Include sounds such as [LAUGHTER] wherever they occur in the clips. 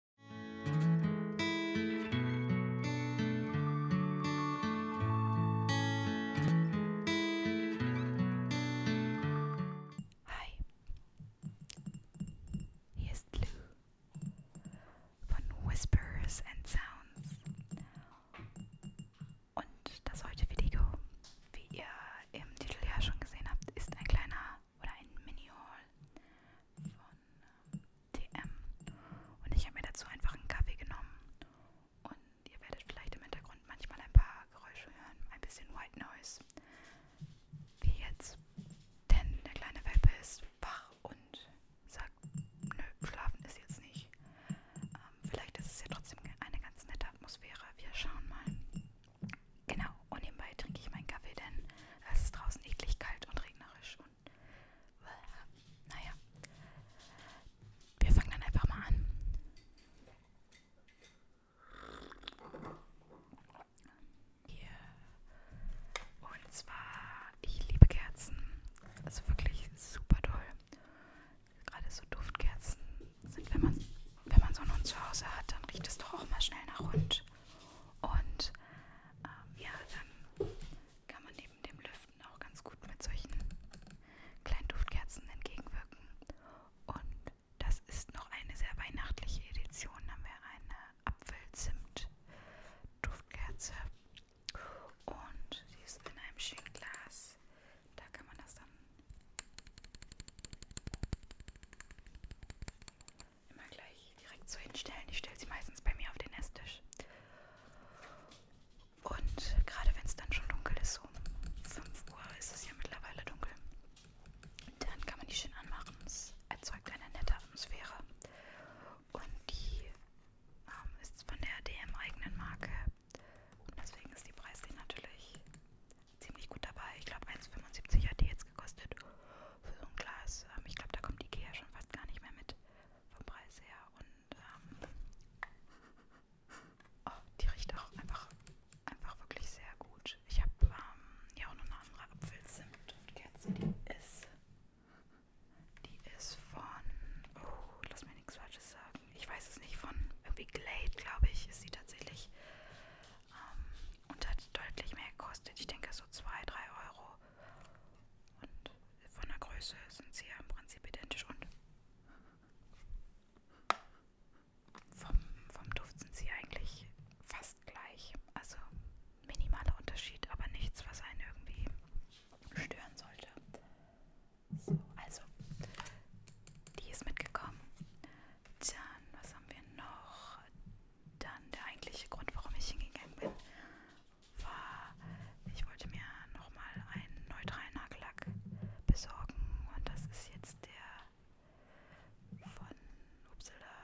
Hi, hier ist Lou von Whispers and Sounds und das heutige Video, wie ihr im Titel ja schon gesehen habt, ist ein kleiner oder ein Mini-Haul von äh, TM. Und ich habe mir dazu einfach einen Kaffee genommen. Und ihr werdet vielleicht im Hintergrund manchmal ein paar Geräusche hören, ein bisschen White Noise. Wie jetzt. Denn der kleine Welpe ist wach und sagt, nö, schlafen ist jetzt nicht. Ähm, vielleicht ist es ja trotzdem eine ganz nette Atmosphäre. Wir schauen mal. Genau, Genau. Und nebenbei trinke ich meinen Kaffee, denn es ist draußen eklig kalt und regnerisch. Und naja. Wir fangen dann einfach mal an. Hier. Und zwar, ich liebe Kerzen. Also wirklich super toll. Gerade so Duftkerzen sind, wenn man, wenn man so einen Hund zu Hause hat, dann riecht es doch auch mal schnell nach Hund. Und ähm, ja, dann kann man neben dem Lüften auch ganz gut mit solchen kleinen Duftkerzen entgegenwirken. Und das ist noch eine sehr weihnachtliche Edition. Da haben wir eine Apfelzimt-Duftkerze. Und sie ist in einem schönen Glas. Da kann man das dann immer gleich direkt so hinstellen. Ich stelle sie meistens bei mir auf den Esstisch. Und gerade wenn es dann schon dunkel ist, um 5 Uhr ist es ja mittlerweile dunkel, dann kann man die schön anmachen. Es erzeugt eine nette Atmosphäre. Und die ähm, ist von der DM-eigenen Marke. Und deswegen ist die Preis natürlich ziemlich gut dabei. Ich glaube 1,75 hat die jetzt gekostet für so ein Glas. Ähm, ich glaube, da kommt Ikea schon fast gar nicht mehr mit vom Preis her. Und ähm, oh, die riecht auch einfach, einfach wirklich sehr gut. Ich habe ähm, ja auch noch eine andere Apfelzimt-Duftkerze, die ist, die ist von, oh, lass mir nichts Falsches sagen. Ich weiß es nicht, von irgendwie Glade, glaube ich, ist sie tatsächlich. Ähm, und hat deutlich mehr gekostet. Ich denke so 2, 3 Euro. Und von der Größe sind sie ja im Prinzip identisch und vom, vom Duft sind sie eigentlich fast gleich. Also minimaler Unterschied, aber nichts, was einen irgendwie stören sollte. So, also, die ist mitgekommen. Dann, was haben wir noch? dann der eigentliche Grund, warum ich hingegangen bin, war, ich wollte mir nochmal einen neutralen Nagellack besorgen und das ist jetzt der von Upsala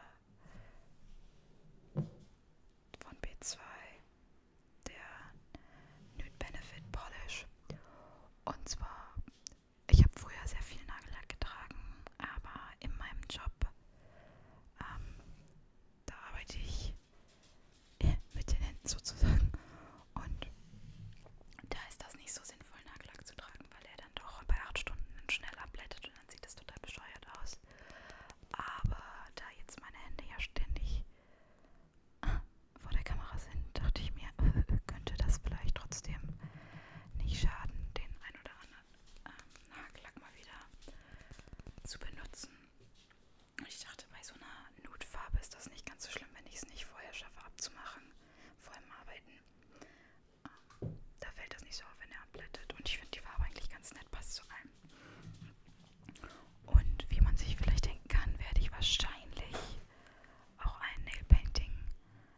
von B2 der Nude Benefit Polish und zwar ich habe früher sehr viel Nagellack getragen, aber in meinem Job ähm, da arbeite ich äh, mit den Händen sozusagen. Und da ist das nicht so sinnvoll, Nagellack zu tragen, weil er dann doch bei 8 Stunden schnell abblättet und dann sieht das total bescheuert aus. Aber da jetzt meine Hände ja ständig äh, vor der Kamera sind, dachte ich mir, [LAUGHS] könnte das vielleicht trotzdem nicht schaden, den ein oder anderen ähm, Nagellack mal wieder zu benutzen. Ich dachte, bei so einer Nude-Farbe ist das nicht ganz so schlimm, wenn ich es nicht vorher schaffe abzumachen, vor allem arbeiten. Ähm, da fällt das nicht so auf, wenn er abblättet. Und ich finde die Farbe eigentlich ganz nett, passt zu allem. Und wie man sich vielleicht denken kann, werde ich wahrscheinlich auch ein Nail Painting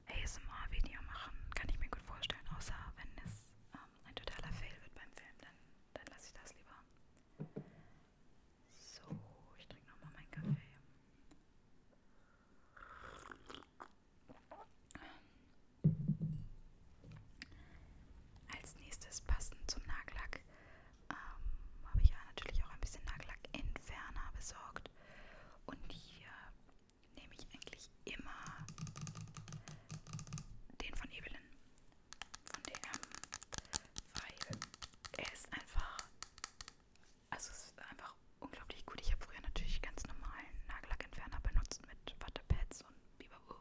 ASMR Video machen. Kann ich mir gut vorstellen, außer wenn es äh, ein totaler Fail wird beim Film, dann, dann lasse ich das lieber. So, ich trinke nochmal meinen Kaffee. Als nächstes passend zum Nagellack ähm, habe ich ja natürlich auch ein bisschen Nagellackentferner besorgt. Und hier nehme ich eigentlich immer den von Evelyn von DM, weil er ist einfach, also es ist einfach unglaublich gut. Ich habe früher natürlich ganz normalen Nagellackentferner benutzt mit Wattepads und Bibabu,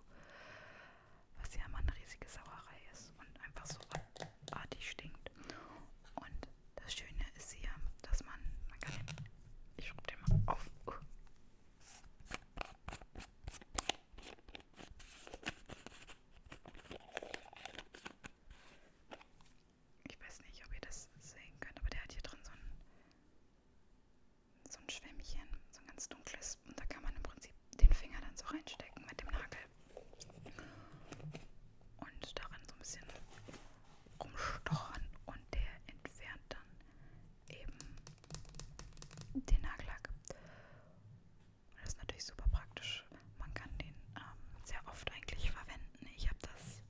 was ja immer eine riesige Sauerei ist und einfach so artig stinkt. Und das Schöne ist hier, dass man, man kann den, ich schraube den mal auf. Uh. Ich weiß nicht, ob ihr das sehen könnt, aber der hat hier drin so ein, so ein Schwämmchen, so ein ganz dunkles. Und da kann man im Prinzip den Finger dann so reinstecken mit dem Nagel. Und daran so ein bisschen rumstochern und der entfernt dann eben den Nagellack. Und das ist natürlich super praktisch. Man kann den ähm, sehr oft eigentlich verwenden. Ich habe das,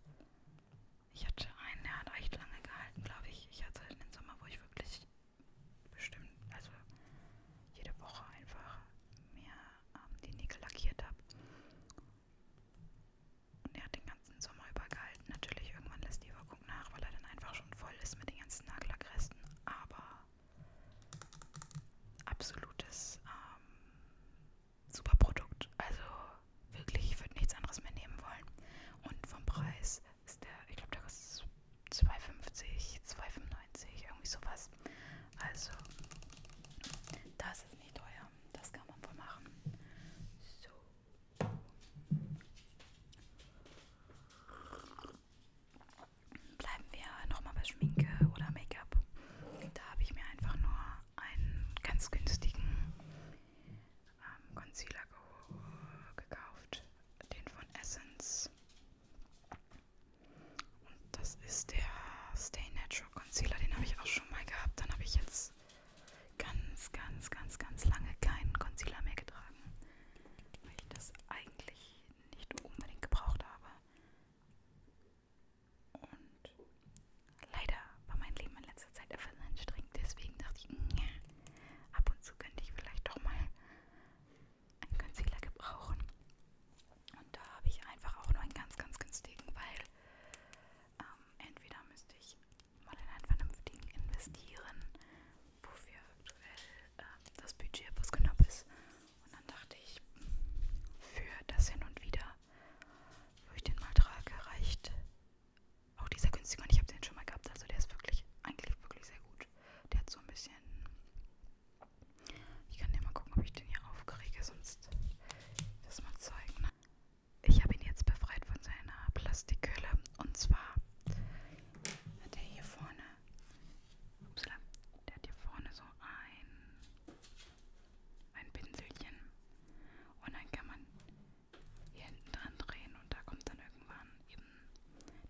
ich hatte einen, der hat echt lange gehalten, glaube ich. Ich hatte einen halt Sommer, wo ich wirklich bestimmt, also jede Woche einfach mir ähm, die Nägel lackiert habe. Und er hat den ganzen Sommer über gehalten. Natürlich, irgendwann lässt die Wirkung Meinung nach, weil er dann einfach schon voll ist mit den ganzen Nagellackresten. Aber absolutes ähm, super Produkt. Also wirklich, ich würde nichts anderes mehr nehmen wollen. Und vom Preis ist der, ich glaube, der kostet 2,50, 2,95, irgendwie sowas. Also, das ist nicht teuer. Das kann man wohl machen. So, Bleiben wir nochmal bei Schminke oder Make-up. Da habe ich mir einfach nur einen ganz günstigen ähm, Concealer ge gekauft, den von Essence. Und das ist der Stay Natural Concealer, den habe ich auch schon mal gehabt. Dann habe ich jetzt ganz, ganz, ganz, ganz lange keinen Concealer mehr getragen weil ich das eigentlich nicht unbedingt gebraucht habe. Und leider war mein Leben in letzter Zeit etwas anstrengend, deswegen dachte ich, nja, ab und zu könnte ich vielleicht doch mal einen Concealer gebrauchen. Und da habe ich einfach auch nur einen ganz, ganz günstigen, weil ähm, entweder müsste ich mal in einen vernünftigen investieren, wofür aktuell äh, das Budget etwas knapp ist. Und dann dachte ich, für das hin und wieder, wo ich den mal trage, reicht auch dieser günstige. Und ich habe den schon mal gehabt, also der ist wirklich, eigentlich wirklich sehr gut. Der hat so ein bisschen. Ich kann dir mal gucken, ob ich den hier aufkriege, sonst das mal zeigen. Ich habe ihn jetzt befreit von seiner Plastikhülle und zwar hat er hier vorne, upsala, der hat hier vorne so ein, ein Pinselchen und dann kann man hier hinten dran drehen und da kommt dann irgendwann eben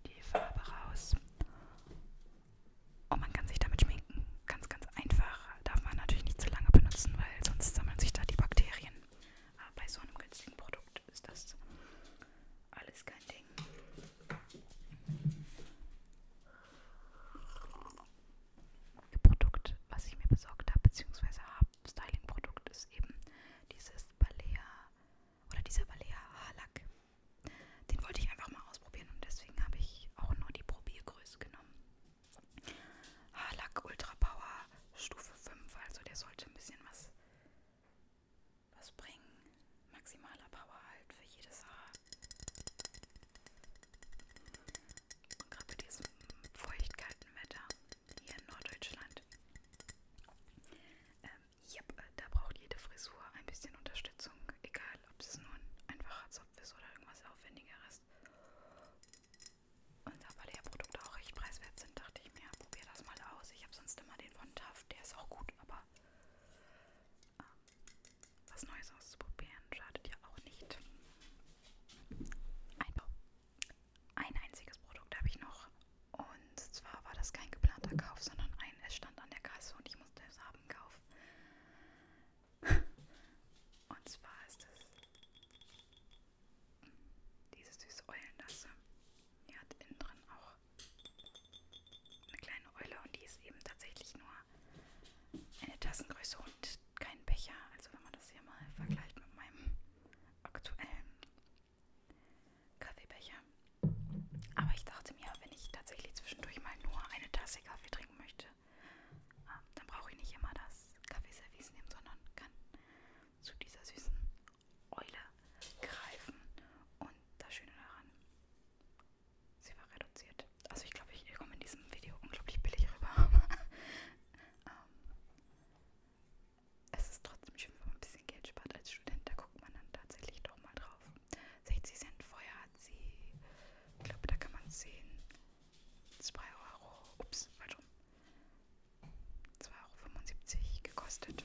die Farbe raus. Und man kann sich damit schminken. Ganz, ganz einfach. Darf man natürlich nicht zu lange benutzen, weil sonst sammeln sich da die Bakterien. Aber bei so einem günstigen Produkt ist das alles kein Ding. Produkt, was ich mir besorgt habe, beziehungsweise habe, Styling-Produkt ist eben dieses Balea oder dieser Balea Haarlack. Den wollte ich einfach mal ausprobieren und deswegen habe ich auch nur die Probiergröße genommen. Haarlack Ultra Power Stufe 5, also der sollte ein bisschen was was bringen. Maximaler Power halt für jedes Haar. Und gerade bei diesem feuchtkalten Wetter hier in Norddeutschland. Ähm, yep, äh, da braucht jede Frisur ein bisschen Unterstützung, egal ob es nur ein einfacher Zopf ist oder irgendwas Aufwendigeres. Und da, weil die Produkte auch recht preiswert sind, dachte ich mir, probier das mal aus. Ich habe sonst immer den von Taft, der ist auch gut gut, aber ähm, was Neues auszuprobieren schadet ja auch nicht. Ein, ein einziges Produkt habe ich noch und zwar war das kein geplanter Kauf, sondern ein, es stand an der Kasse und ich musste es haben kaufen. [LAUGHS] Und zwar ist es hm, diese süße Eulendasse. Die hat innen drin auch eine kleine Eule und die ist eben tatsächlich nur eine Tassengröße und kein Becher. Also wenn man das hier mal vergleicht mit meinem aktuellen Kaffeebecher. Aber ich dachte mir, wenn ich tatsächlich zwischendurch mal nur eine Tasse Kaffee trinken möchte, ähm, dann brauche ich nicht immer das Kaffeeservice nehmen, sondern kann zu dieser süßen Eule greifen und das Schöne daran, sie war reduziert. Also ich glaube, ich, ich komme in diesem Video unglaublich billig rüber. [LAUGHS] ähm, es ist trotzdem schön, wenn man ein bisschen Geld spart als Student, da guckt man dann tatsächlich doch mal drauf. 60 Cent vorher hat sie, ich glaube, da kann man sehen, 2 Euro, ups, falsch rum. 2,75 Euro gekostet.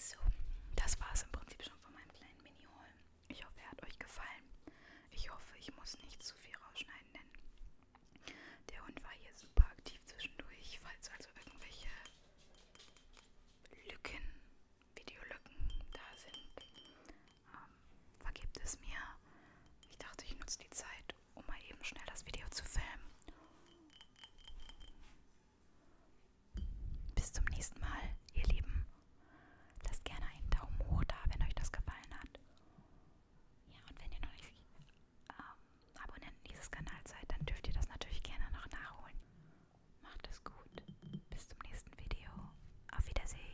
So, das war es im Prinzip schon von meinem kleinen Mini-Haul. Ich hoffe, er hat euch gefallen. Ich hoffe, ich muss nicht zu viel rausschneiden, denn der Hund war hier super aktiv zwischendurch. Falls also irgendwelche Lücken, Videolücken da sind, ähm, vergebt es mir. Ich dachte, ich nutze die Zeit, um mal eben schnell das Video zu filmen. Bis zum nächsten Mal, ihr Lieben. Lasst gerne einen Daumen hoch da, wenn euch das gefallen hat. Ja, und wenn ihr noch nicht ähm, Abonnenten dieses Kanals seid, dann dürft ihr das natürlich gerne noch nachholen. Macht es gut. Bis zum nächsten Video. Auf Wiedersehen.